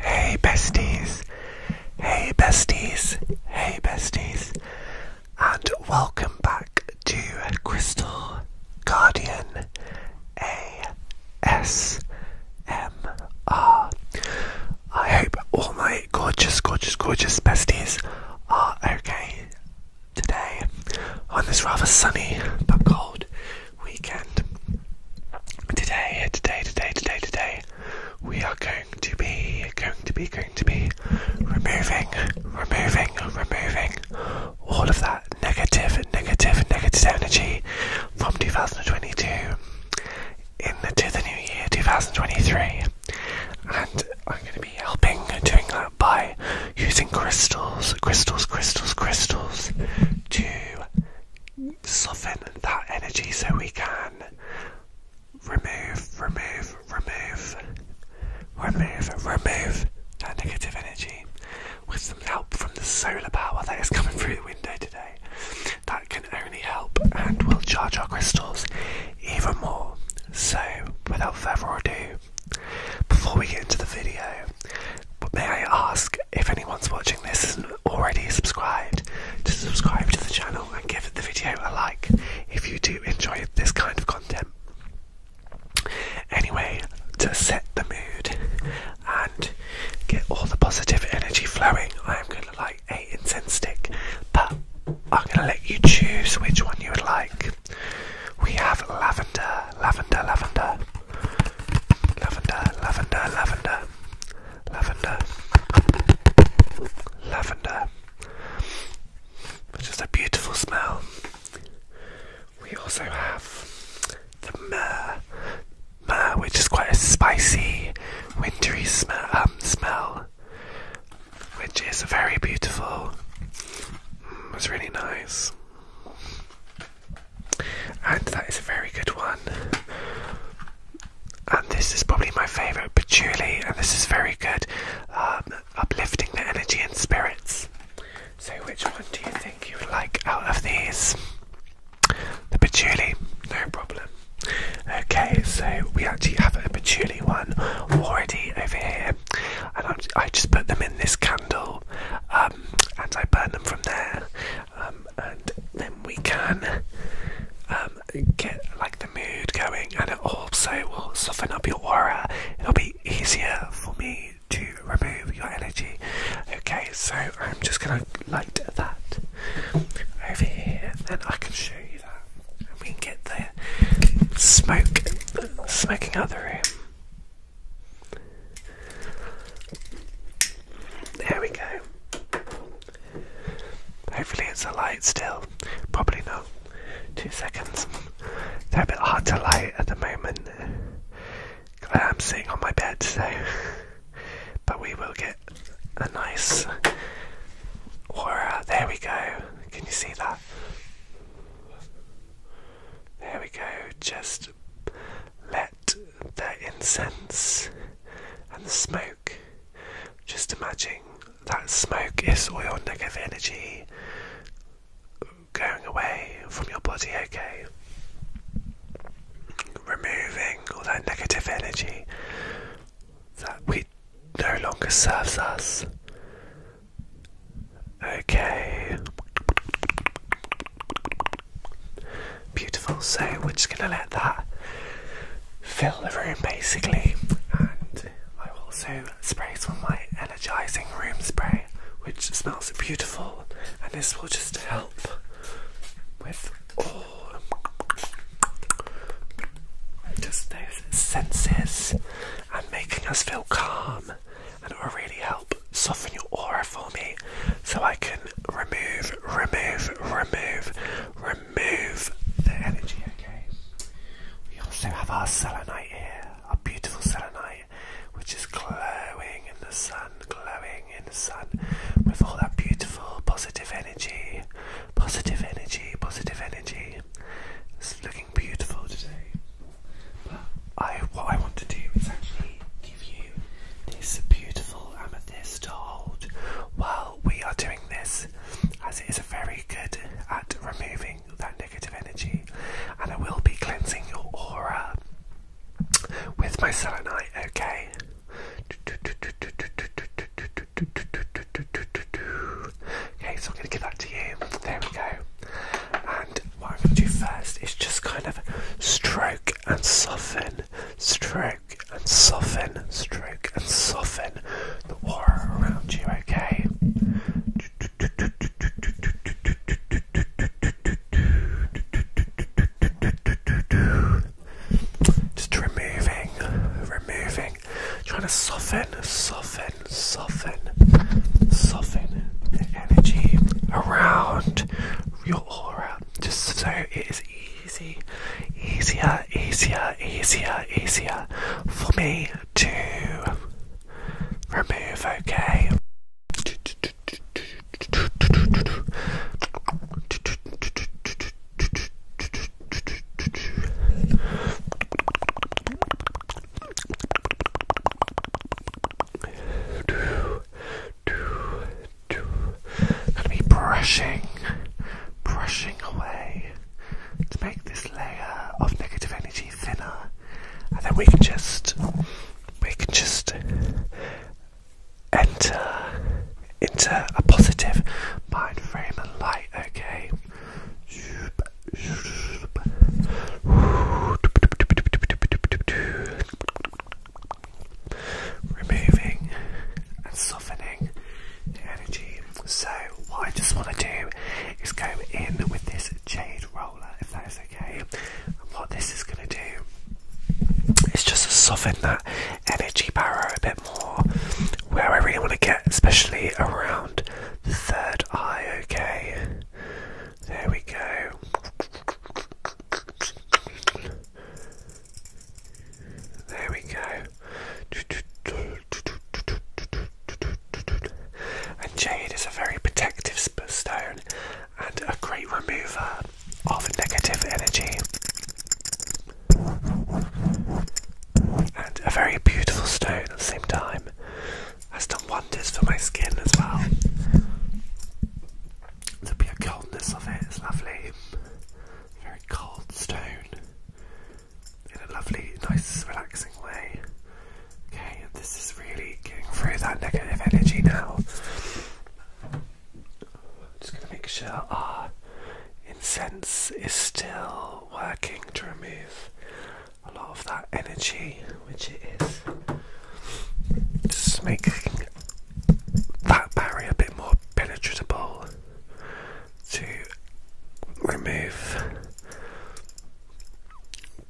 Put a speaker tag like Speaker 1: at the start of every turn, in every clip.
Speaker 1: Hey besties, hey besties, hey besties, and welcome back to Crystal Guardian A S M R. I hope all my gorgeous, gorgeous, gorgeous besties are okay today on this rather sunny but cold weekend. Today, today, today, today, today, we are going to be, going to be, going to be removing, removing, removing all of that negative, negative, negative energy from 2022 into the new year 2023. And I'm going to be helping doing that by using crystals, crystals, crystals, crystals to soften that energy so we can remove, remove, remove, remove, remove that negative energy with some help from the solar power that is coming through the window today. That can only help and will charge our crystals even more. So, without further ado, before we get into the video, but may I ask if anyone's watching this is already subscribed to subscribe to the channel and give the video a like if you do enjoy this kind of content. Anyway, to set the mood and get all the positive energy flowing, I am going to light a incense stick, but I'm going to let you choose which one you would like. We have lavender, lavender, lavender, Lavender, lavender, lavender, lavender, lavender. Which is a beautiful smell. We also have the myrrh, myrrh, which is quite a spicy, wintry um, smell. which is very beautiful. Mm, it's really nice and that is a very good one. And this is probably my favourite, patchouli, and this is very good, um, uplifting the energy and spirits. So, which one do you think you would like out of these? The patchouli, no problem. Okay, so we actually have a patchouli one already over here, and I just put them in this candle, um, and I burn them from there. Um, and then we can um, get like the mood going, and it also will soften up your aura. It'll be easier for me to remove your energy. Okay, so I'm just gonna light that over here, and I can show you that, and we can get the smoke smoking out the room. There we go. Hopefully it's a light still. Probably not. Two seconds. They're a bit hard to light at the moment. I'm sitting on my bed, so. But we will get a nice aura. There we go. Can you see that? There we go. Just let their incense and the smoke. Just imagine that smoke is all your negative energy going away from your body, okay? Removing all that negative energy that we no longer serves us. Okay. Beautiful, so we're just going to let that fill the room basically. And I also spray some of my energizing room spray, which smells beautiful, and this will just help with all just those senses and making us feel calm, and will really help help soften your aura for me so I can remove, remove, remove, remove the energy, okay? We also have our selenite here, our beautiful selenite, which is glowing in the sun, glowing in the sun with all that beautiful positive energy, positive energy, positive energy. It's looking beautiful today. But what I want to do is actually give you this beautiful amethyst to hold while we are doing this, as it is very good at removing that negative energy. And I will be cleansing your aura with my selenite, okay? Okay, so I'm going to give that to you. There we go. And what I'm going to do first is just kind of stroke and soften, stroke and soften, stroke and soften the aura around you, okay? Just removing, removing, trying to soften, soften, soften soften, soften the energy around your aura just so it is easy, easier, easier, easier, easier for me to remove, okay? Gonna be brushing, brushing away to make this layer of negative energy thinner, and then we can just, we can just enter into a positive mind frame and light. Okay, removing and softening the energy. So, what I just want to do is go in with this jade roller, if that is okay. And what this is going to do is just soften that energy bar a bit more, where I really want to get, especially around the third eye, okay? There we go. There we go. And jade is a very protective stone and a great remover of negative energy. And a very beautiful stone at the same time has done wonders for my skin as well. The pure coldness of it is lovely. Very cold stone in a lovely, nice, relaxing way. Okay, this is really getting through that negative energy now. just going to make sure our incense is still working to remove a lot of that energy, which it is. Just making that barrier a bit more penetrable to remove.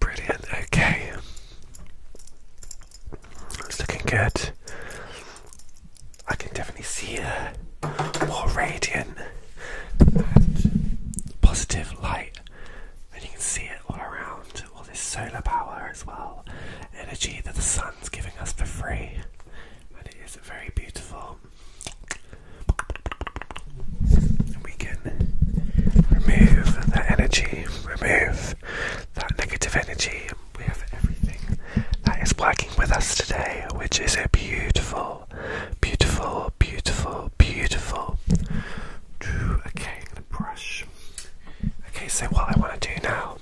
Speaker 1: Brilliant, okay. It's looking good. I can definitely see a more radiant and positive light and you can see it all around, all this solar power as well, energy that the sun's giving us for free, and it is very beautiful. And we can remove that energy, remove that negative energy. We have everything that is working with us today, which is a beautiful, beautiful, beautiful, beautiful Okay, i brush. Okay, so what I want to do now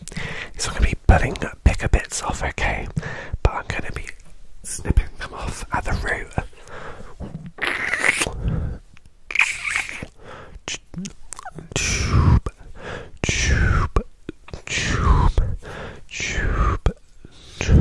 Speaker 1: is I'm gonna be pulling bigger bits off, okay? But I'm gonna be snipping them off at the root. Tube, tube, tube, tube, tube.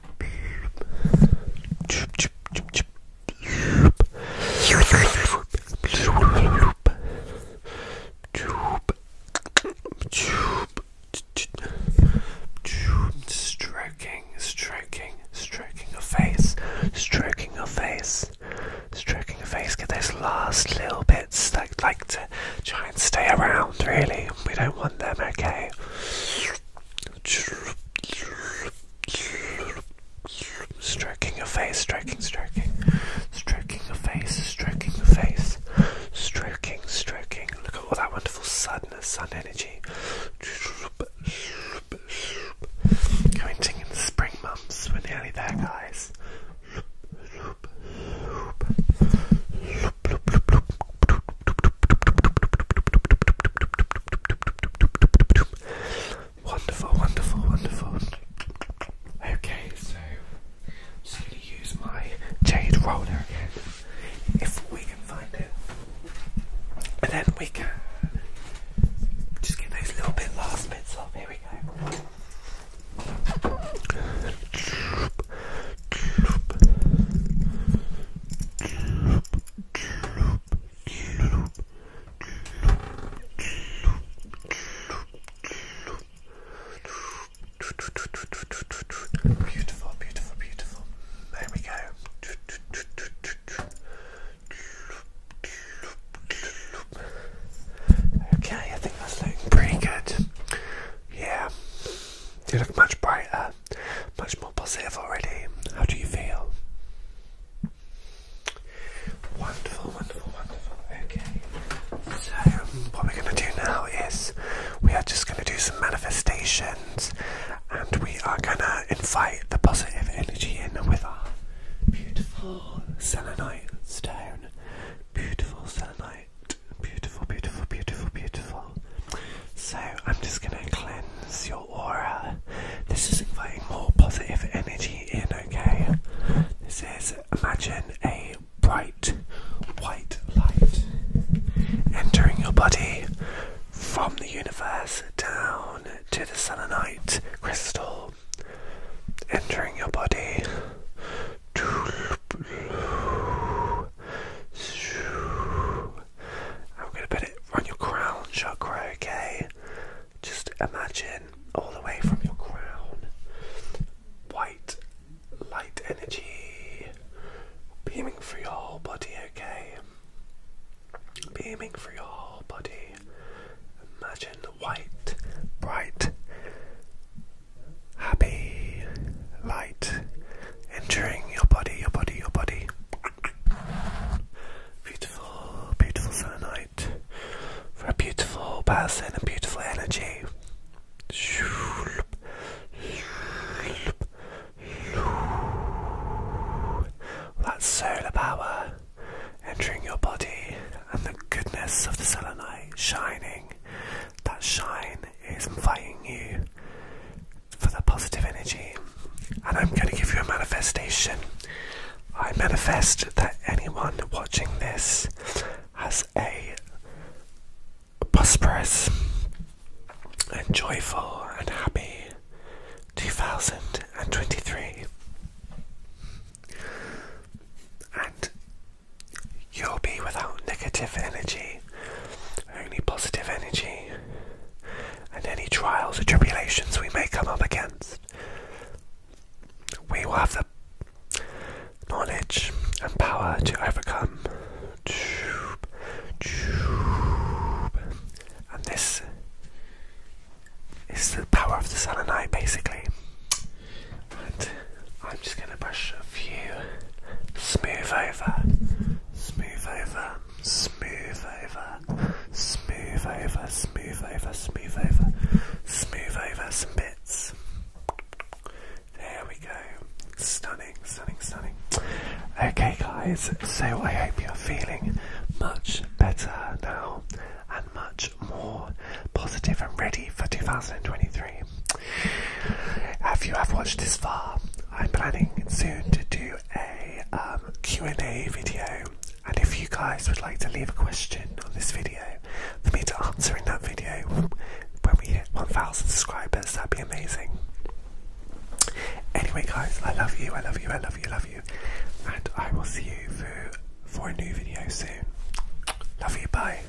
Speaker 1: Stroking, stroking, stroking your face, stroking your face, stroking your face. Get those last little bits that like to try and stay around, really. We don't want them, okay? Stroking your face, stroking, stroking, stroking your face, stroking your face, stroking, stroking. Look at all that wonderful suddenness, sun energy. Counting in the spring months, we're nearly there, guys. Wonderful, wonderful, wonderful. Okay, so I'm just going to use my jade roller again, if we can find it. And then we can just get those little bit last bits off. Here we go. Beautiful, beautiful, beautiful. There we go. Okay, I think that's looking pretty good. Yeah, you look much brighter much more positive already. How do you feel? Wonderful, wonderful, wonderful. Okay. So, what we're going to do now is we are just going to do some manifestations and we are going to invite the positive energy in with our beautiful selenite stone. Beautiful selenite beautiful, beautiful, beautiful, beautiful. So I'm just gonna cleanse your aura. This is inviting more positive energy in, okay? This is imagine a bright white light entering your body from the universe down to the selenite crystal entering your body I'm going to put it on your crown chakra, okay? Just imagine all the way from your crown white light energy beaming through your body, okay? Beaming through your body. Imagine the white, bright happy, light, enduring your body, your body, your body. Beautiful, beautiful summer night for a beautiful person and beautiful energy. That solar power entering your body and the goodness of the solar shining, that shine is I'm fighting you for the positive energy, and I'm going to give you a manifestation. I manifest that anyone watching this has a prosperous and joyful and happy 2023. And You'll be without negative energy, only positive energy, and any trials or tribulations we may come up against. We will have the knowledge and power to overcome. And this is the power of the sun and I, basically. I'm just going to brush a few smooth over, smooth over, smooth over, smooth over, smooth over, smooth over, smooth over some bits. There we go. Stunning, stunning, stunning. Okay, guys, so I hope you're feeling much better now and much more positive and ready for 2023. If you have watched this far, I'm planning soon to do a um, Q&A video, and if you guys would like to leave a question on this video for me to answer in that video when we hit 1,000 subscribers, that'd be amazing. Anyway, guys, I love you, I love you, I love you, love you, and I will see you for for a new video soon. Love you, bye.